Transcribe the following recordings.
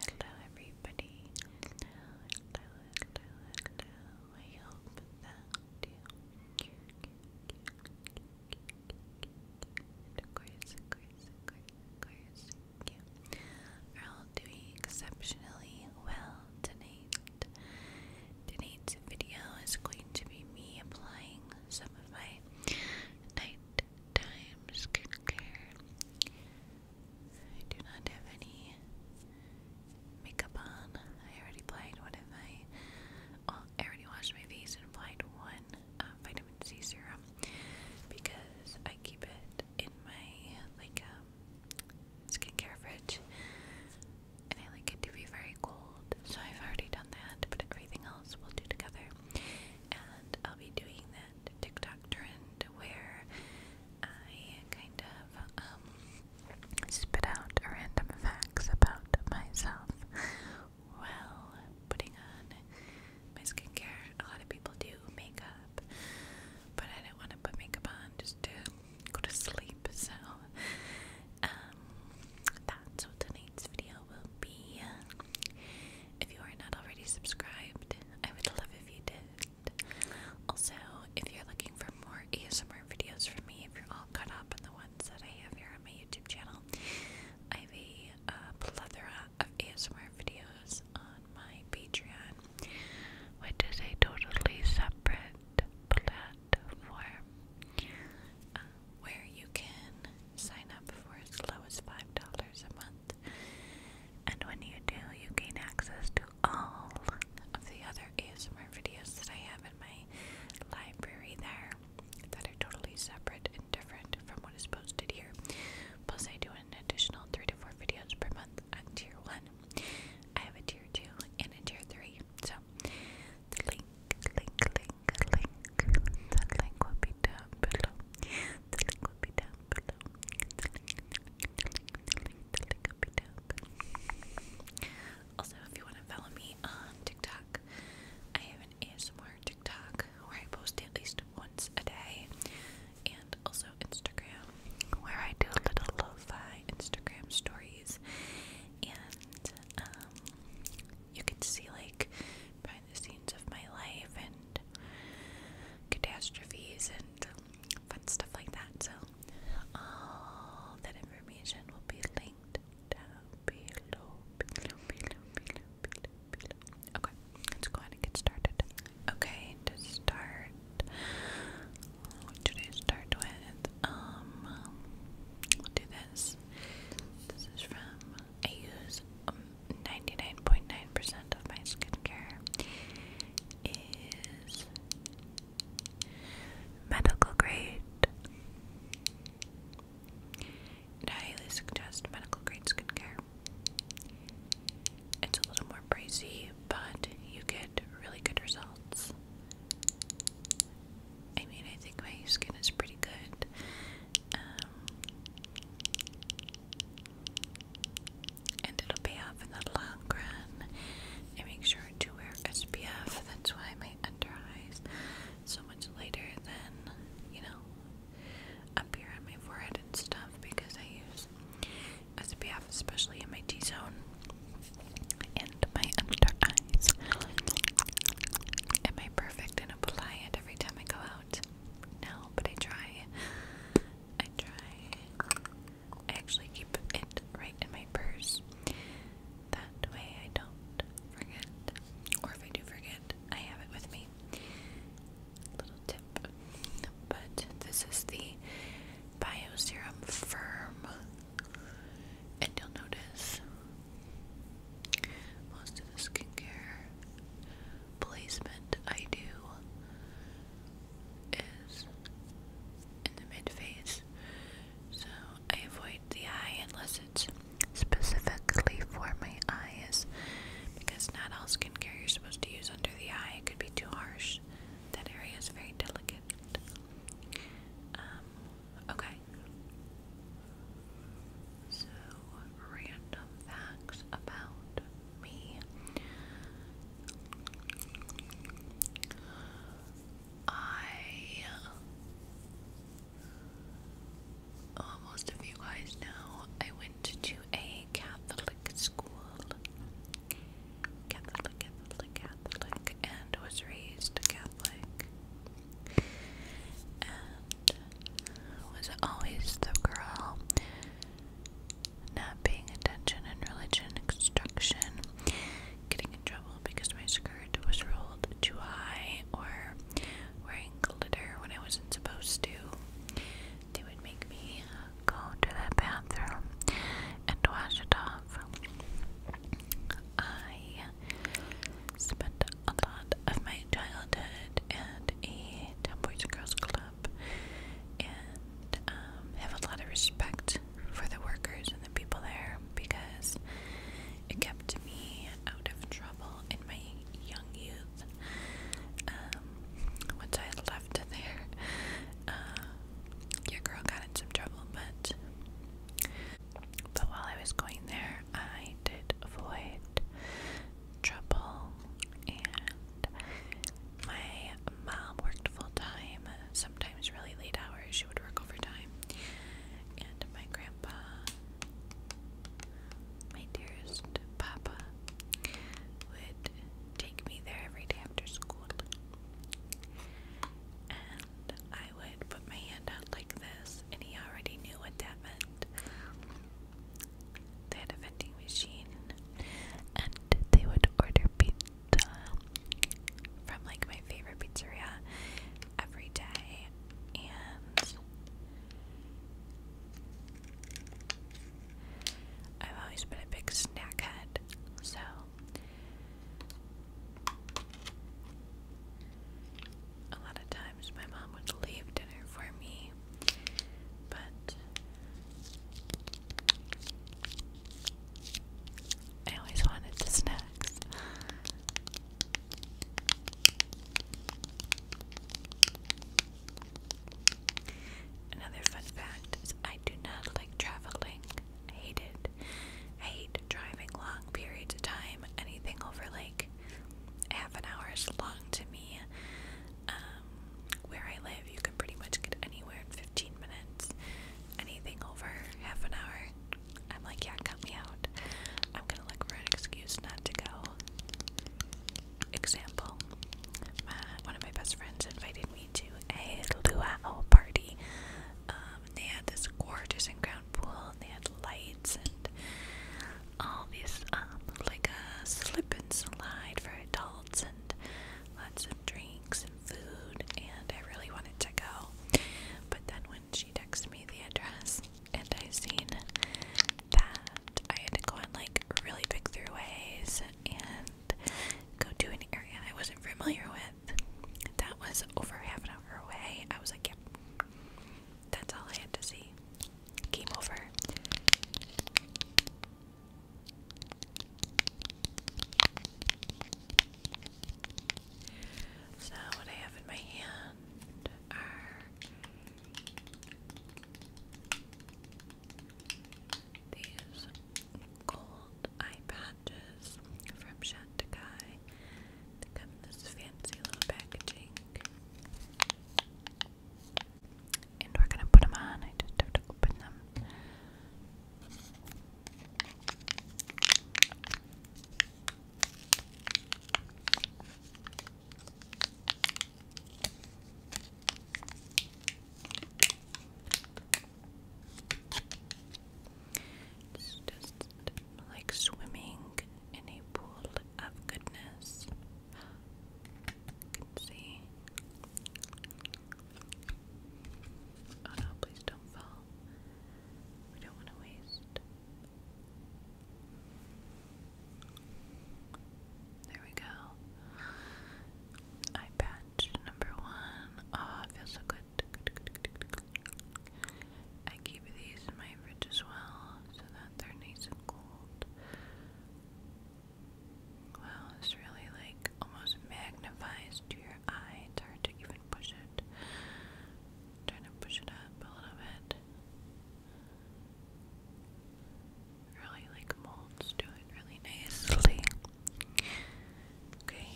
Hello everybody. Hello, are all doing exceptionally well tonight. Tonight's video is going to be me applying some of my night times skincare. I do not have any makeup on. I already applied one of my. Well, I already washed my face and applied one uh, vitamin C serum because I keep it in my like um, skincare fridge, and I like it to be very cold. So I've already done that, but everything else we'll do together and I'll be doing that TikTok trend where I kind of um, spit out random facts about myself while putting on my skincare. A lot of people do makeup, but I do not want to put makeup on just to go to sleep, so um, that's what tonight's video will be. If you are not already subscribed, I would love if you did. Also, if you're looking for more ASMR videos from me, if you're all caught up on the ones that I have here on my YouTube channel, I have a uh, plethora of ASMR videos on my Patreon, which is a totally separate platform. Um, where you can sign up for as low as $5 a month. And when you do, you gain access to all of the other ASMR videos that I have in my library there that are totally separate and different from what is posted here. Plus, I do an additional 3 to 4 videos per month on Tier 1. I have a Tier 2 and a Tier 3. So, link, link, link link. Also, if you want to follow me on TikTok, I have an ASMR TikTok where I post at least once a day, and also Instagram where I do little lo Instagram stories, and um, you can see like the scenes of my life and catastrophes and fun stuff like that. So, that information will be linked down below. Okay, let's go ahead and get started. Okay, to start, what should I start with? Um, do this. This is from I use 99.9% um, of my skincare is medical grade. I highly suggest medical grade skincare. It's a little more pricey, but you get really good results. I mean, I think my skin is pretty good. Um, and it'll pay off in the long run. I make sure to wear SPF. That's why my under eyes so much later than you know appear on my forehead and stuff because I use SPF especially in my T zone and my under eyes. Am I perfect and apply it every time I go out? out but I try. I try. I actually keep it right in my purse. That way I don't forget. Or if I do forget, I have it with me. Little tip. But this is the Bioserum Firm. And you'll notice most of the skincare placement I do is in the mid face, so I avoid the eye unless it's specifically for my eyes because not all skincare you're supposed to use under the eye, it could be too harsh. That area is very delicate. Um, okay. So, random facts about me. I oh, most of you guys know I went to a Catholic school. Catholic, Catholic, Catholic, and was raised Catholic was always the girl. Not paying attention in religion instruction, getting in trouble because my skirt was rolled too high, or wearing glitter when I wasn't supposed to. They would make me go to the bathroom and wash it off. I spent spent a lot of my childhood at a Town Boys and Girls Club and um, have a lot of respect for the workers and the people there because it kept me out of trouble in my young youth. Um, once I left there, uh, your girl got in some trouble, but but while I was going there, I did avoid trouble, and my mom worked full time, sometimes really late hours. She would work overtime, and my grandpa, my dearest papa, would take me there every day after school. And I would put my hand out like this, and he already knew what that meant. They had a vending machine and they would order pizza from like my favorite pizzeria every day and I've always been a big snack head, so a lot of times my mom would leave dinner for me, but I always wanted the snacks. Another fun fact I do not like traveling. I hate it. I hate driving long periods of time. Anything over like half an hour is long to me. Um, where I live, you can pretty much get anywhere in 15 minutes. Anything over half an hour, I'm like, yeah, cut me out. I'm gonna look for an excuse not to go. Example, my, one of my best friends invited me to a luau party. Um, they had this gorgeous in-ground pool, and they had lights, and all these um, like a slip and slide for adults and lots of drinks and food and I really wanted to go but then when she texted me the address and I seen that I had to go on like really big throughways and go to an area I wasn't familiar with that was over half an hour away I was like yep yeah, that's all I had to see Game over. So what I have in my hand are these gold eye patches from Shantikai. They this fancy little packaging and we're gonna put them on. I just have to open them. It's just like swimming in a pool of goodness. You can see. Oh no, please don't fall. We don't want to waste. There we go. Eye patch number one. Oh, it feels so good. I keep these in my fridge as well so that they're nice and cold. Wow, this really like almost magnifies to your eye. It's hard to even push it. trying to push it up a little bit. Really like molds to it really nicely. Okay.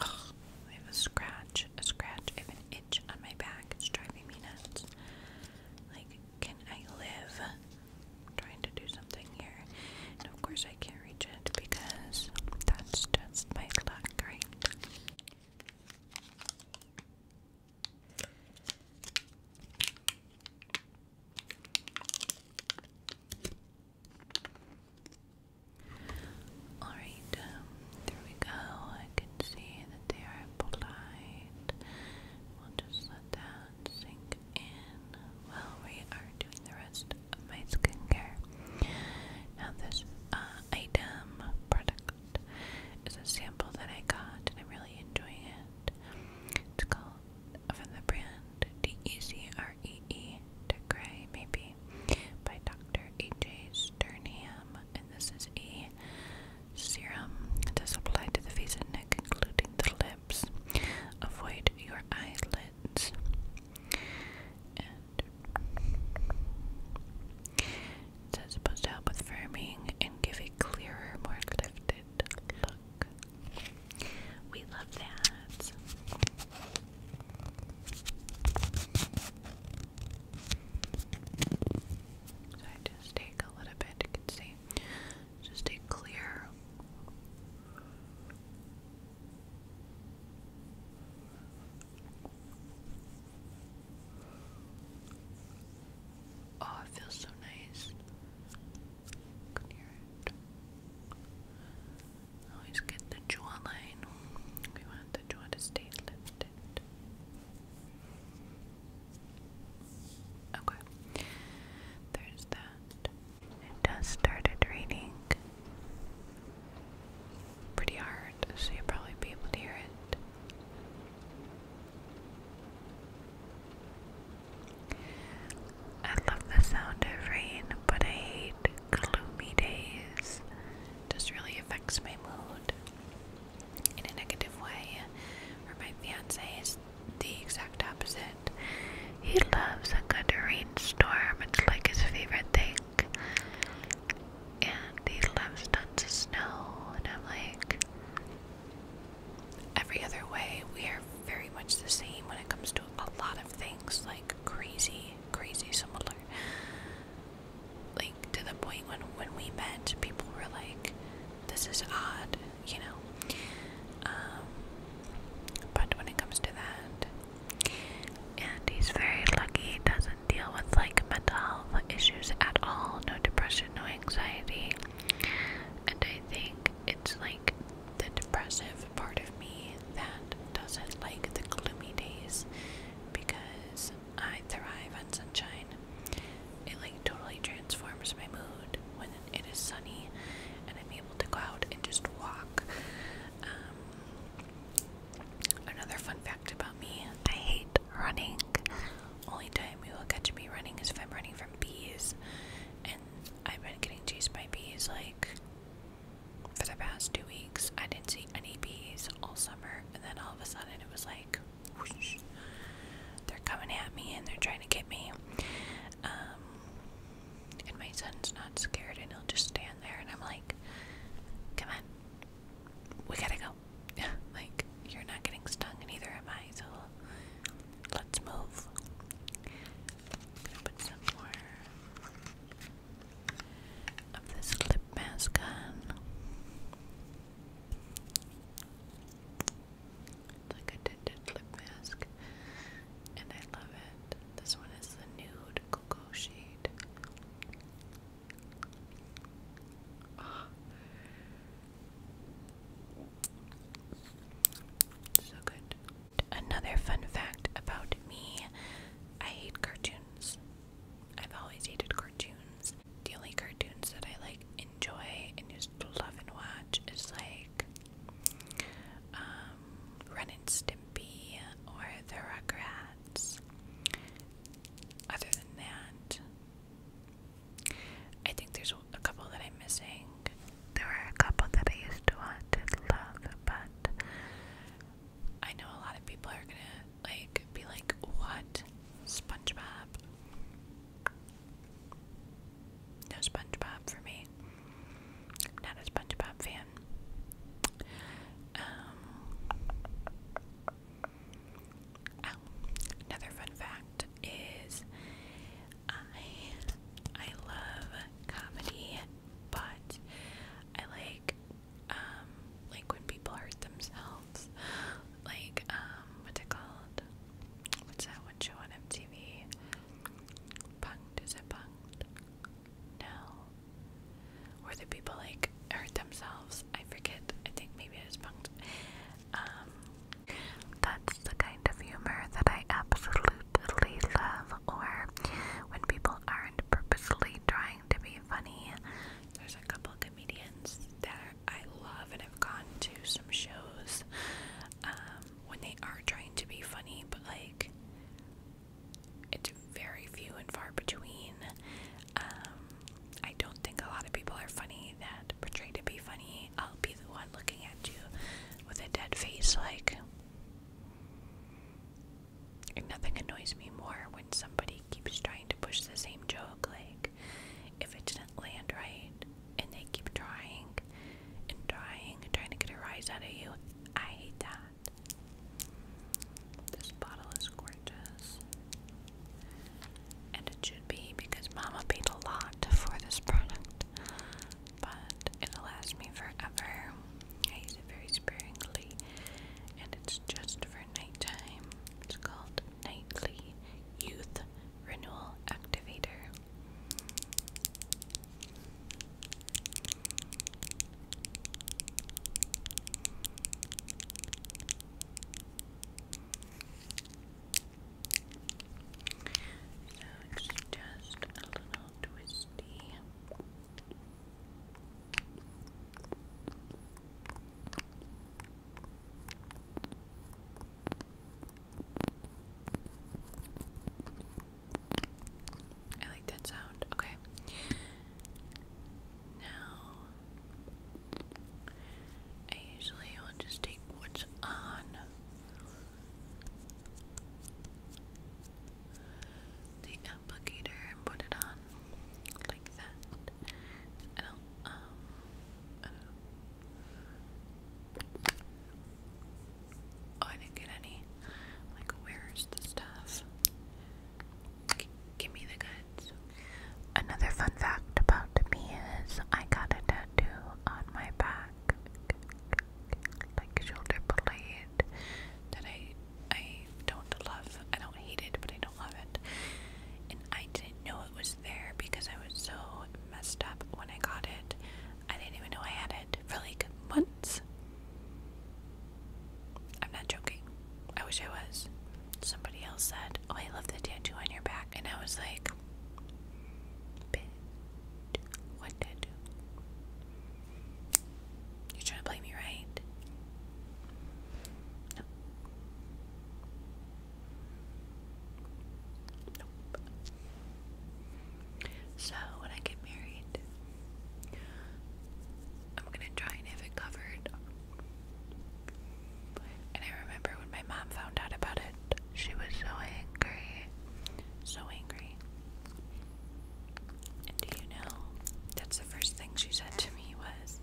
Oh, I have a scratch a scratch, I an itch on my back. It's driving me nuts. Like, can I live? trying to do something here. And of course, I can't reach it because that's just my luck, right? Alright, um, there we go. I can see that they are applied. We'll just let that sink in while we are doing the rest of my skincare. Now, this uh, item product is a sample that I got, and I'm really enjoying it. It's called from the brand D E C R E E to maybe by Dr. H. A. Sternham, and this is a Serum does apply to the face and neck, including the lips. Avoid your eyelids. it's supposed to help with firming and give a clearer, more lifted look. We love that. So I just take a little bit, you can see, just a clear Oh, it feels so nice. Always get the jawline. We want the jaw to stay lifted. Okay. There's that. It just started raining pretty hard, so you'll probably be able to hear it. I love the sound of rain, but I hate gloomy days. It really affects my mood in a negative way, or my fiance is the exact opposite. He loves a good rainstorm, it's like his favorite thing. And he loves tons of snow, and I'm like, every other way, we are very much the same when it comes to a lot of things, like crazy, crazy similar like to the point when when we met, people were like, "This is odd," you know. Um, but when it comes to that, and he's very lucky, doesn't deal with like mental health issues at all, no depression, no anxiety, and I think it's like the depressive part of me that doesn't like the gloomy days because I thrive on sunshine it like totally transforms my mood when it is sunny and I'm able to go out and just walk. Um, another fun fact about me I hate running. Only time you will catch me running is if I'm running from bees. And I've been getting chased by bees like for the past two weeks. I didn't see any bees all summer, and then all of a sudden it was like they're coming at me and they're trying to get me. Um, and my son's not scared and he'll just stand there and I'm like, come on, we gotta go. like, you're not getting stung and neither am I, so let's move. gonna put some more of this lip mask on like a tinted lip mask, and I love it. This one is the nude cocoa shade. Ah. So good. Another fun fact about me I hate cartoons. I've always hated cartoons. The only cartoons that I like enjoy and just love and watch is like um, Ren and Stimpy or The Rugrats. Other than that, I think there's a couple that I'm missing. There were a couple that I used to want to love, but I know a lot of people are gonna like be like, "What, SpongeBob?" No SpongeBob for me. Not a SpongeBob fan. Um, oh, another fun fact is I I love comedy, but I like um like when people hurt themselves like um what's it called? What's that one show on MTV? Punked, is it punked? No. Where the people like hurt themselves. I forget. I think maybe it is punked. Um that's the kind of humor that I absolutely love or when people aren't purposely trying to be funny. There's a couple comedians that I love and have gone to some shows um, when they are trying to be funny, but like it's very few and far between. Um, I don't think a lot of people are funny that portray to be funny. I'll be the one looking at you with a dead face, like. nothing annoys me more when somebody keeps trying to push the same joke, like, if it didn't land right and they keep trying and trying and trying to get a rise out of you, I hate that. This bottle is gorgeous. And it should be because Mama paid a lot for this product. But it'll last me forever. I use it very sparingly. And it's just for nighttime. It's called Nightly Youth renewal activator. So it's just a little twisty. I like that sound. Okay. Now, I usually will just take what's on. The applicator and put it on like that. I Oh, I didn't get any. Like, where's the stuff? give me the goods. Another fun fact about me is I got a tattoo on my back, like shoulder blade, that I I don't love. I don't hate it, but I don't love it. And I didn't know it was there because I was so messed up when I got it. I didn't even know I had it for like months. I'm not joking. I wish I was. Somebody else said, Oh, I love the tattoo on your back. And I was like, what tattoo? You're trying to play me, right? So when I get married, I'm gonna try and have it covered. And I remember when my mom found out about it, she was so angry. So angry. And do you know, that's the first thing she said to me was,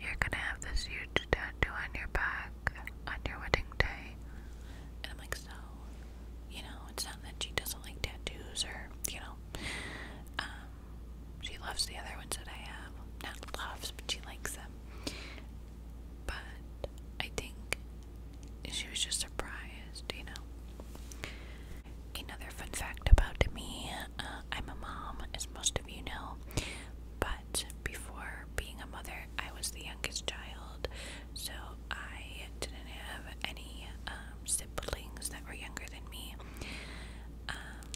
you're gonna have this huge tattoo on your back on your wedding day. And I'm like, so, you know, it's not that she doesn't like tattoos or, you know, um, she loves the other ones that I have. Not loves, but she likes them. But I think she was just surprised, you know. Another fun fact about me uh, I'm a mom, as most of you know, but but before being a mother, I was the youngest child, so I didn't have any um, siblings that were younger than me. Um,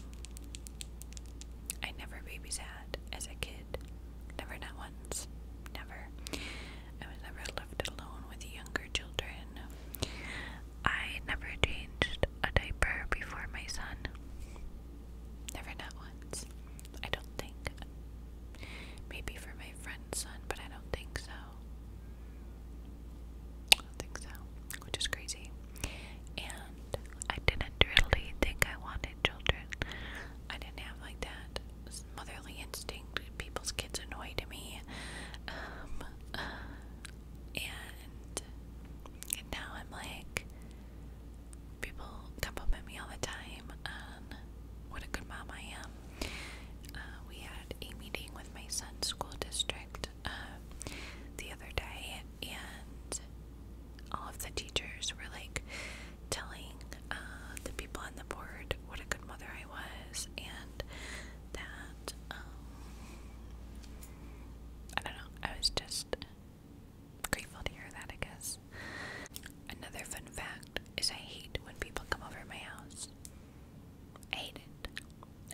I never babysat as a kid, never, not once, never. I was never left alone with younger children. I never changed a diaper before my son. Never not once. I don't think. Maybe for my friend's son, but I don't think so. I don't think so, which is crazy. And I didn't really think I wanted children. I didn't have like that motherly instinct. People's kids annoy to me. Um, and now I'm like, people compliment me all the time on what a good mom I am. Uh, we had a meeting with my son's school district uh, the other day, and all of the teachers were like telling uh, the people on the board what a good mother I was, and that um, I don't know. I was just grateful to hear that, I guess. Another fun fact is I hate when people come over my house. I hate it.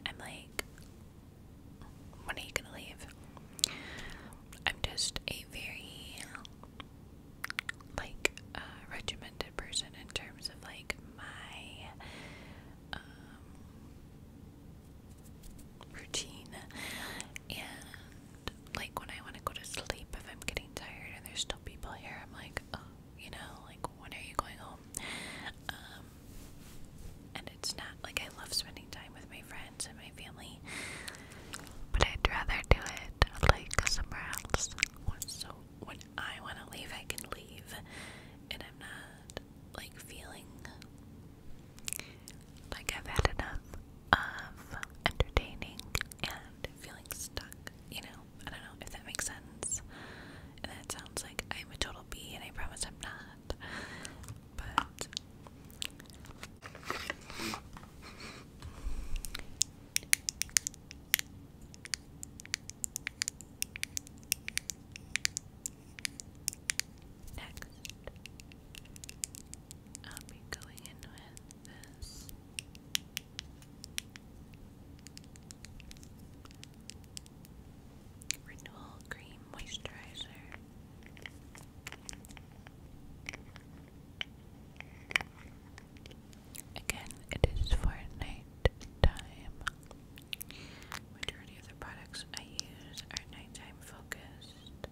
I'm like, when are you gonna leave? I'm just a very, like, uh, regimented person in terms of, like, my, um, routine and like when I want to go to sleep, if I'm getting tired and there's still people here, I'm like, oh, you know, like when are you going home? Um, and it's not like I love spending time with my friends and my family, but I'd rather do it like somewhere else. So when I want to leave, I can leave, and I'm not like feeling like I've had enough of entertaining and feeling stuck, you know? I don't know if that makes sense. And that sounds like I'm a total B and I promise I'm not. But Next. I'll be going in with this. Renewal Cream Moisturizer. Again, it is for night time. Majority of the products I use are nighttime focused,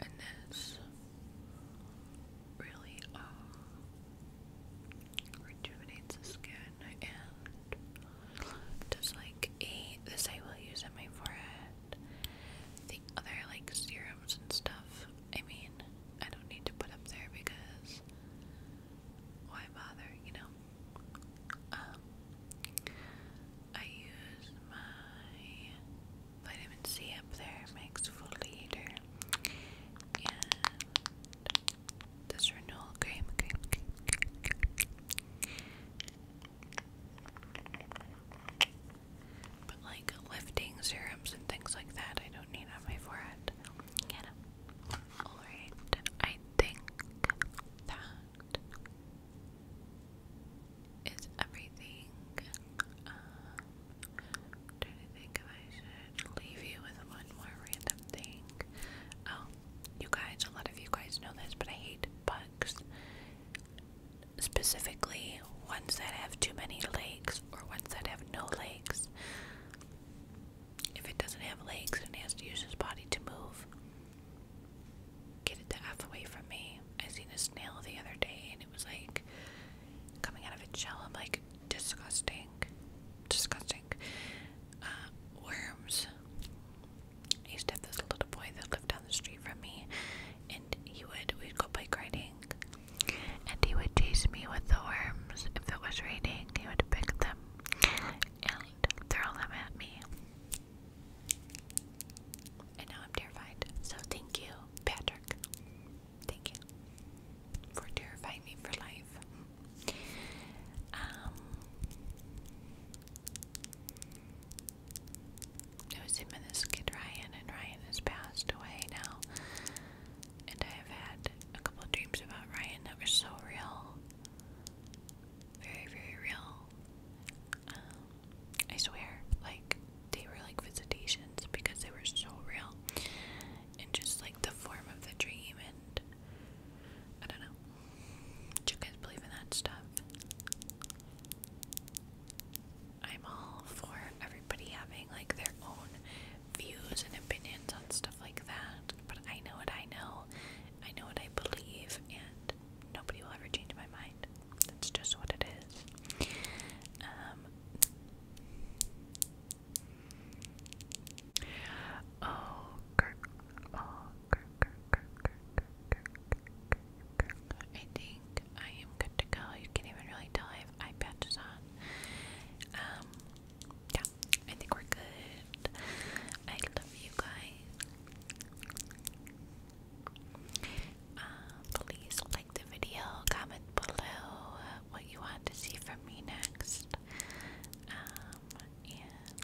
and this really uh, rejuvenates the skin and does like a this I will use on my forehead. The other like serums and stuff, I mean, I don't need to put up there because why bother, you know? Um, I use my vitamin C up there, my exfoliator, and this renewal cream, But like lifting serums and things like that, I don't need on my forehead. Get Alright, I think that is everything. Um, i think I should leave you with one more random thing. Oh, you guys, a lot of you guys know this, but I hate bugs. Specifically, ones that have too many legs or ones that have no legs. If it doesn't have legs and has to use his body to move, get it the F away from me. I seen a snail the other day and it was like coming out of a shell. i like, disgusting. Disgusting. Uh, worms. I used to have this little boy that lived down the street from me and he would, we'd go bike riding and he would chase me with the worms. If it was raining, he would pick them and throw them at me. And now I'm terrified. So thank you, Patrick. Thank you for terrifying me for life. Um, it was him and this kid Ryan, and Ryan has passed away now and I have had a couple dreams about Ryan that were so real. Very, very real. Um, I swear, like, they were like visitations because they were so real. And just like the form of the dream, and I don't know. Do you guys believe in that stuff? I'm all for everybody having like their own views and opinions on stuff like that, but I know what I know, I know what I believe, and nobody will ever change my mind. That's just what it is. Um, oh, Kirk, oh, Kirk, Kirk, Kirk, Kirk, Kirk, Kirk, Kirk, I think I am good to go. You can't even really tell I have eye patches on. Um, yeah, I think we're good. I love you guys. Um, please like the video, comment below what you want to see from me next. Um, and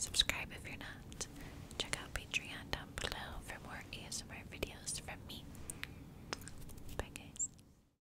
subscribe if you're not. Check out Patreon down below for more ASMR videos from me. Bye, guys.